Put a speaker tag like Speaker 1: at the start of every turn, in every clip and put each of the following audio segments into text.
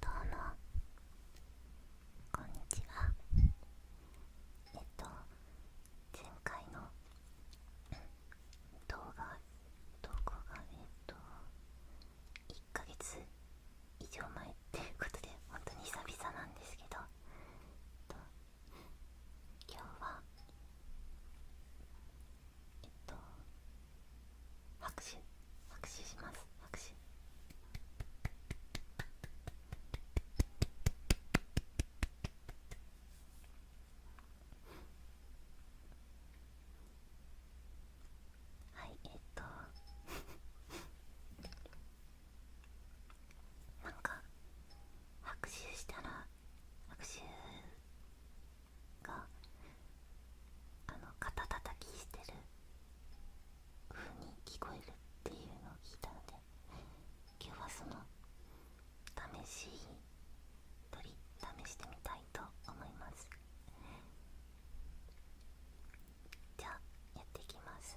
Speaker 1: どうもこんにちはえっと前回の動画投稿がえっと1ヶ月以上前っていうことで本当に久々なんですけど、えっと、今日はえっと拍手拍手します拍手はいえっとなんか拍手したら拍手があの肩たたきしてる風に聞こえるっていうのを聞いたので今日はその試し取り試してみたいと思いますじゃあやっていきます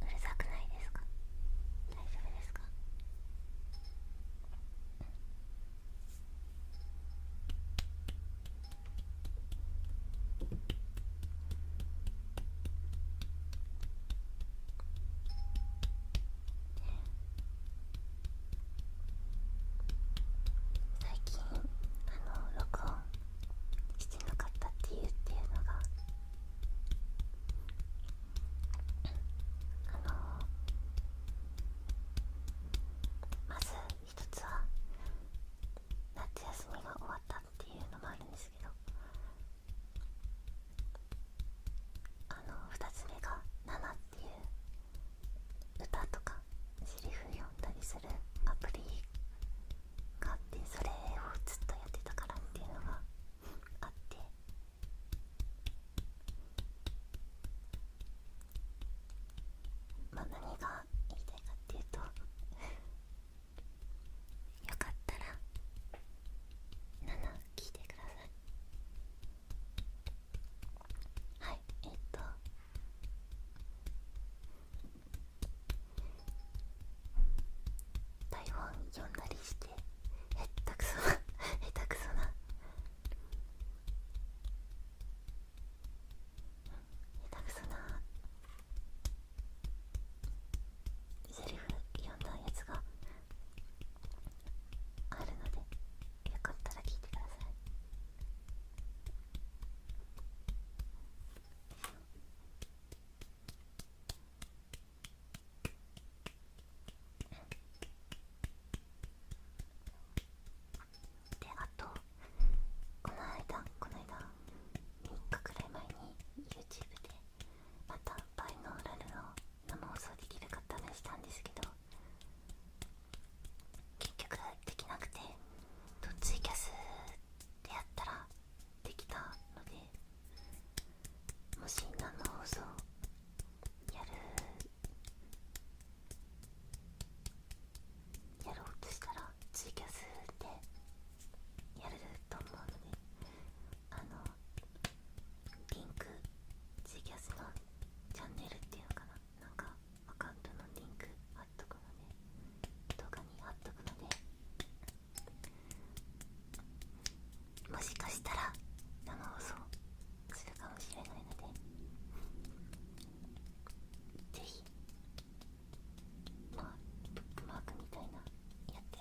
Speaker 1: うるさくないですか大丈夫ですか最近あの録音してなかったっていうのがあのまず一つは夏休みが終わったっていうのもあるんですけどあの2つ目が「ナナ」っていう歌とかセリフ読んだりするアプリがってそれをずっとやってたからっていうのがあってまあ何が言いたいかっていうと よかったら7聞いてくださいはいえっ、と台本読んだりして下手くそな 下手くそな下手くそなセリフ読んだやつがあるのでよかったら聞いてくださいであとこの間この間3日くらい前に YouTube でまたバイノーラルを生放送できるか試したんですけど結局できなくてツイキャスでやったらできたのでもし何の放送やるやろうとしたらツイキャスでやると思うのであのリンクツイキャスのチャンネルっていうのかななんかアカウントのリンク貼っとくので、動画に貼っとくのでもしかしたら生放送するかもしれないのでぜひまあブックマークみたいなやって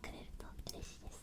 Speaker 1: くれると嬉しいです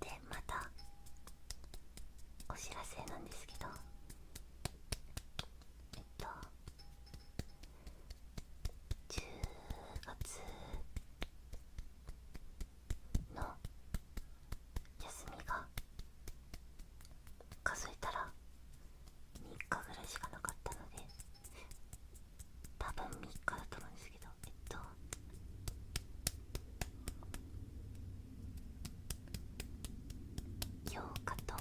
Speaker 1: でまたお知らせなんですけどえっと10月の休みが数えたら3日ぐらいしかなかったので多分3日だと思うんですけどえっと8日と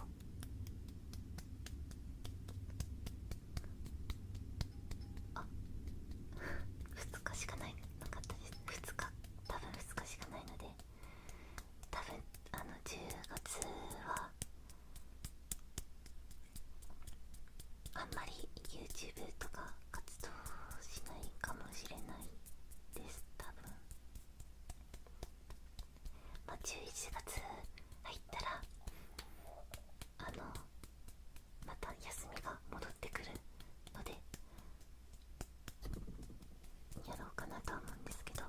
Speaker 1: あ2日しかないなかったです2日多分2日しかないので多分あの10月はあんまり YouTube とか活動しないかもしれないです多分ま11月入ったらあのまた休みが戻ってくるのでやろうかなと思うんですけど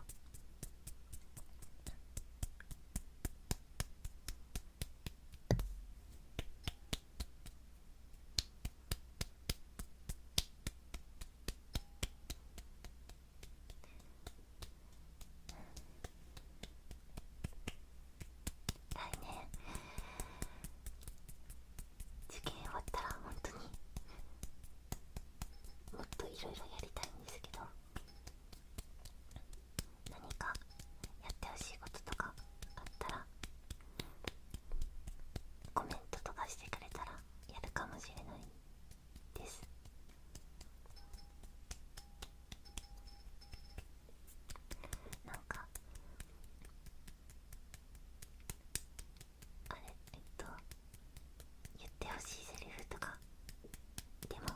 Speaker 1: 来年受験終わったら本当にもっといろいろやりたいんですけど何かやってほしいこととかあったらコメントとかしてくれたらやるかもしれないですなかあれえっと言ってほしいセリフとかでも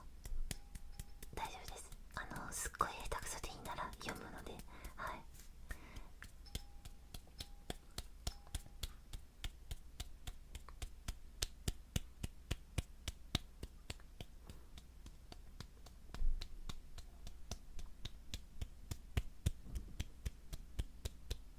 Speaker 1: 大丈夫ですあのすっごい下手くそでいいなら読むのではいあ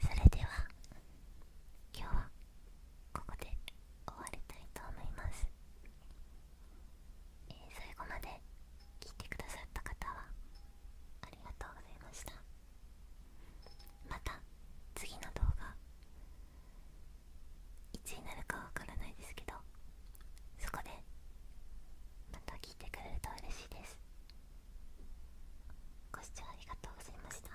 Speaker 1: それでは今日はここで終わりたいと思います、え最後まで聞いてくださった方はありがとうございましたまた次の動画いつになるかわからないですけどそこでまた聞いてくれると嬉しいですご視聴ありがとうございました